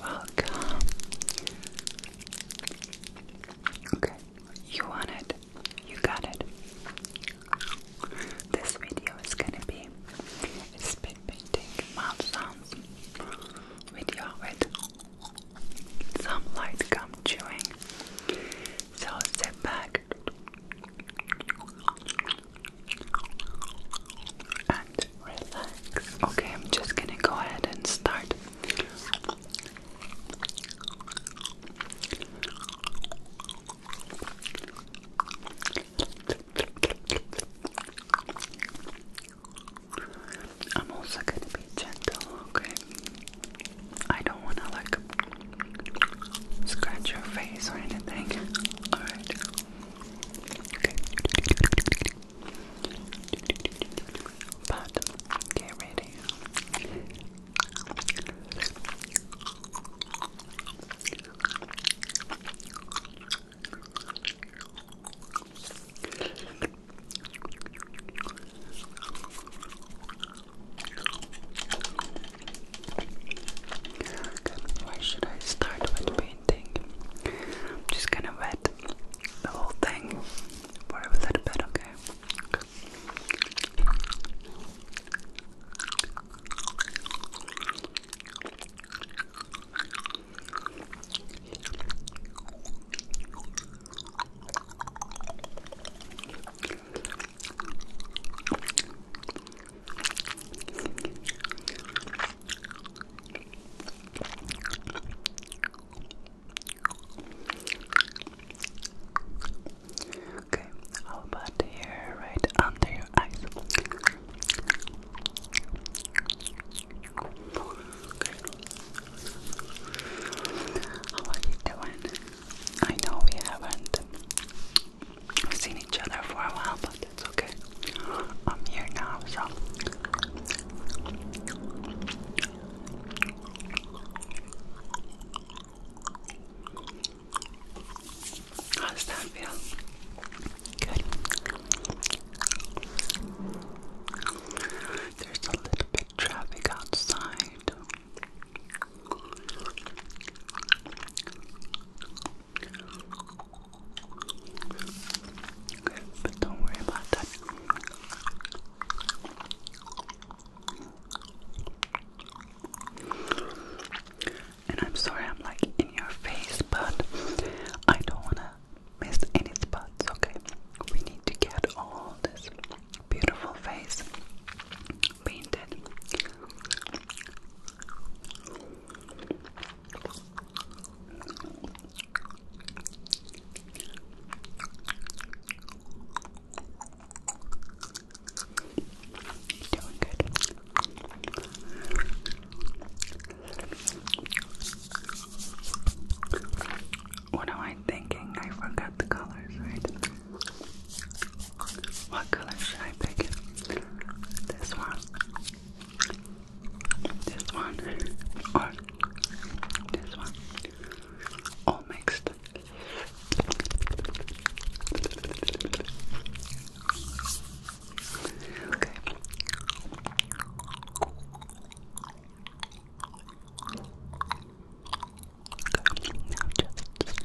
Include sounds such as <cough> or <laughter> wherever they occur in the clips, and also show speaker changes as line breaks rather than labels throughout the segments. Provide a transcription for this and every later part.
Welcome. Okay, you want You got it. This video is gonna be spit painting mouth sounds video with some light gum chewing. So sit back, and relax. Okay, I'm just gonna go ahead and start. I'm also gonna be gentle, okay? I don't wanna like scratch your face or anything. Alright. Okay. But get ready. Good. should I start with painting? I'm just gonna wet the whole thing for a little bit, okay? Okay, how about here, right under your eyes? How are you doing? I know we haven't We've seen each other for a while, but that's okay. I'm here now, so. How does that feel? Good. There's a little bit traffic outside but don't worry about that. And I'm sorry I'm like in your face, but I don't want to miss any spots, okay? We need to get all this beautiful face painted. What am I thinking? I forgot the colors, right? What color should I pick? This one, this one, or this one? All mixed. Okay. just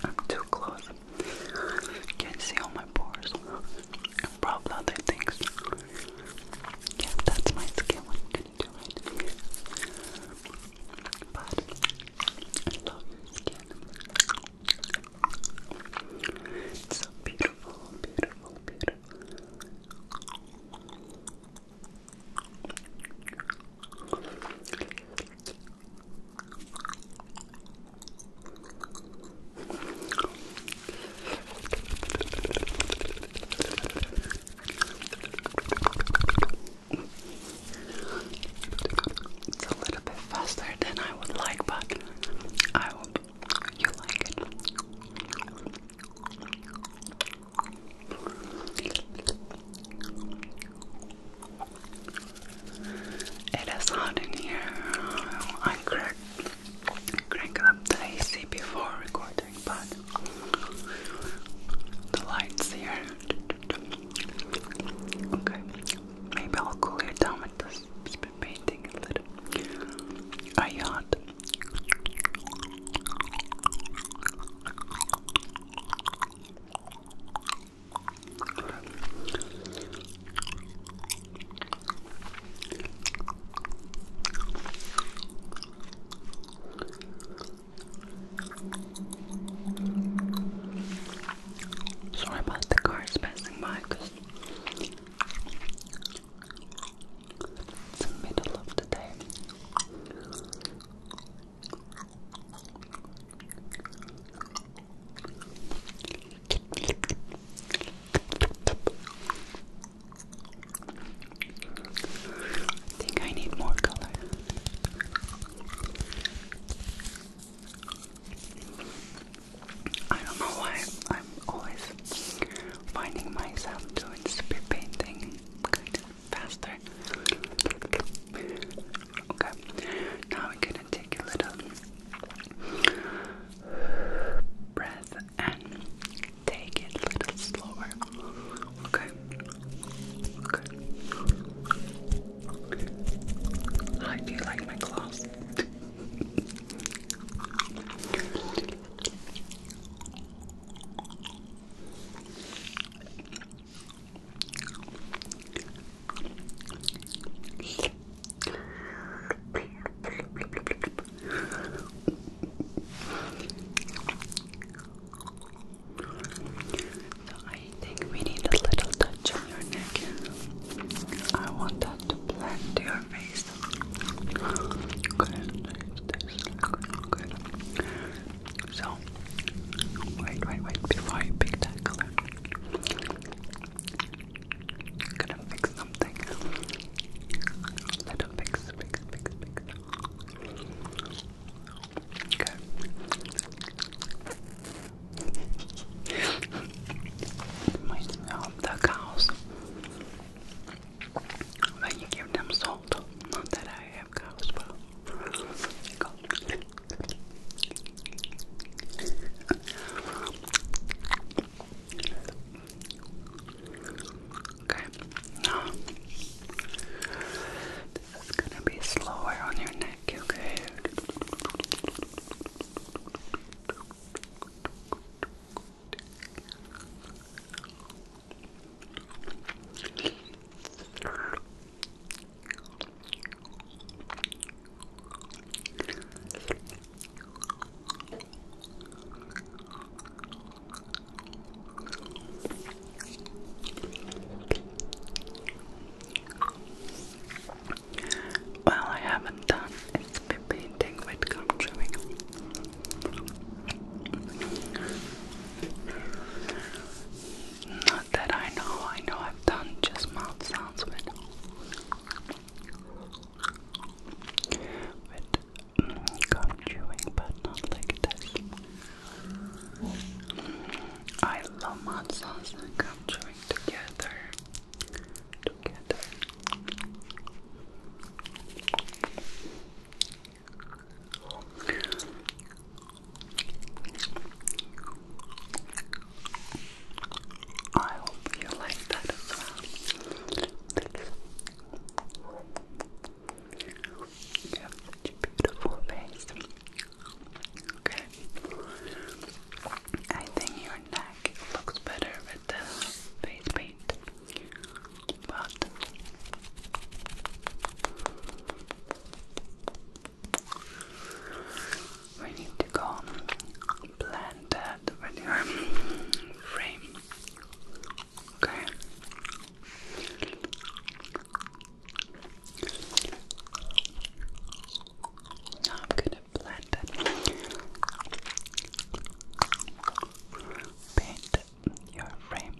I'm too close. Can't see all my pores and probably other things. Yeah, that's my skin into it. But I love your skin. It's so beautiful, beautiful, beautiful. It's a little bit faster than I would like, but I hope you like it. It is hot in here. I cracked up the AC before recording but the lights here. Okay, maybe I'll cool you down with this painting a little. Are you hot? Sorry about the cars passing by because it's the middle of the day. I think I need more color. I don't know why I'm always finding myself doing speed painting faster. Okay, now we're gonna take a little breath and take it a little slower. Okay. Okay. How do like my gloss? <laughs> So I think we need a little touch on your neck. I want that to blend to your face. Good. So wait, wait, wait before you pick that color. I'm gonna fix something. Little fix, fix, fix, fix. Okay. the cows. But you give them salt. Not that I have cows, but Okay, now this is gonna be slower on your neck, okay? Well, I haven't done it painting with gum chewing. Not that I know, I know I've done just mouth sounds with Mm, chewing, but not like this. I love hot sauce and chewing together. Together. I hope you like that as well. You beautiful face. Okay. I think your neck looks better with the face paint. But we need to go blend that with your <laughs> frame. Okay. Now I'm gonna blend it. Paint your frame.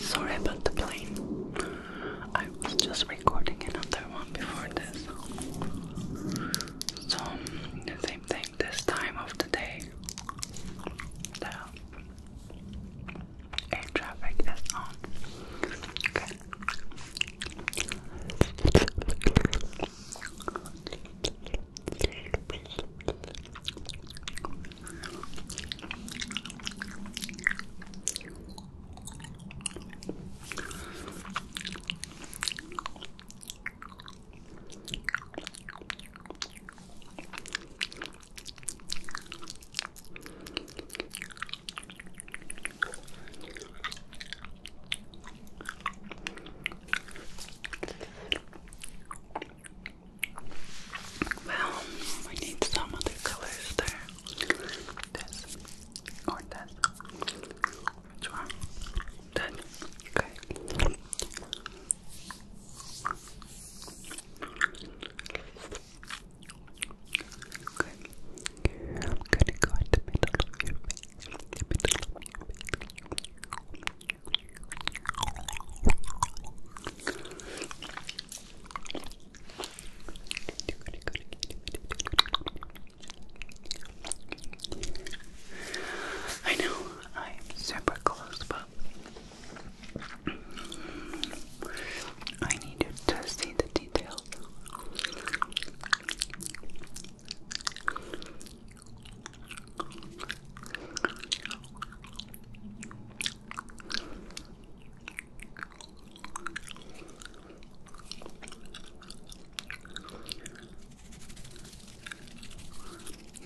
Sorry about the plane. I was just recording another one before this. So, same thing this time of the day the air traffic is on. Okay. Well, we need some other colors there. This or this. Which one? That. Okay. I'm gonna go in the middle I know I am super close by. I need you to see the details.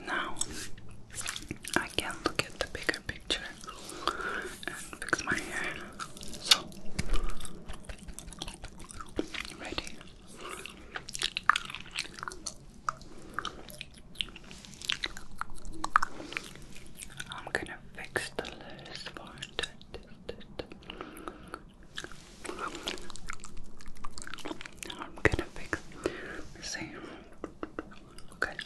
Now I can look at the bigger picture and fix my hair. So, ready. I'm gonna fix the last part. I'm gonna fix the same. Okay,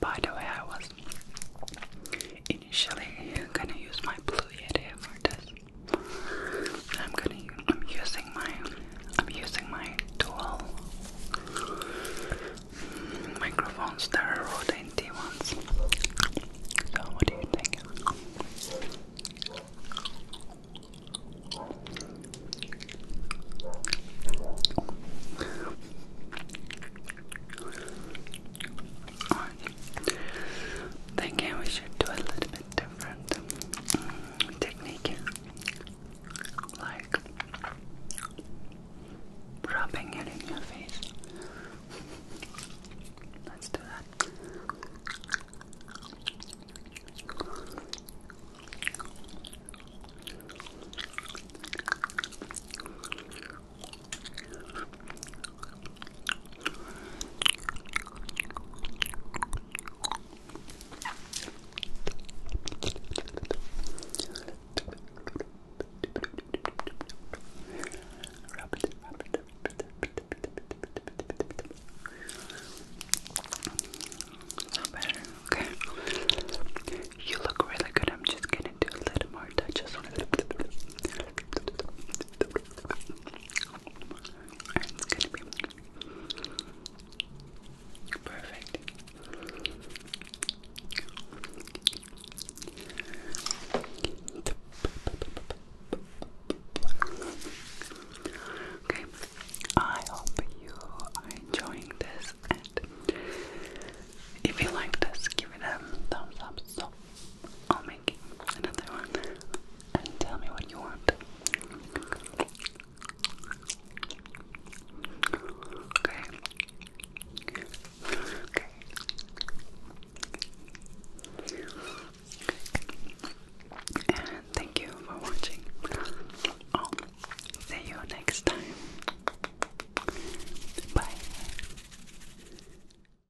By the way, I was initially gonna use my blue yeti for this, I'm gonna. I'm using my. I'm using my tool. microphones. There are Rode ones. So what do you think? thinking we should do a little bit different mm, technique, like rubbing it in your face. Let's do that. Not You look really good. I'm just gonna do a little more touches on it perfect. Okay, I hope you are enjoying this, and if you like this, give it a thumbs up. So, I'll make making another one and tell me what you want. Okay. Okay. And thank you for watching. i oh, see you next time. Bye.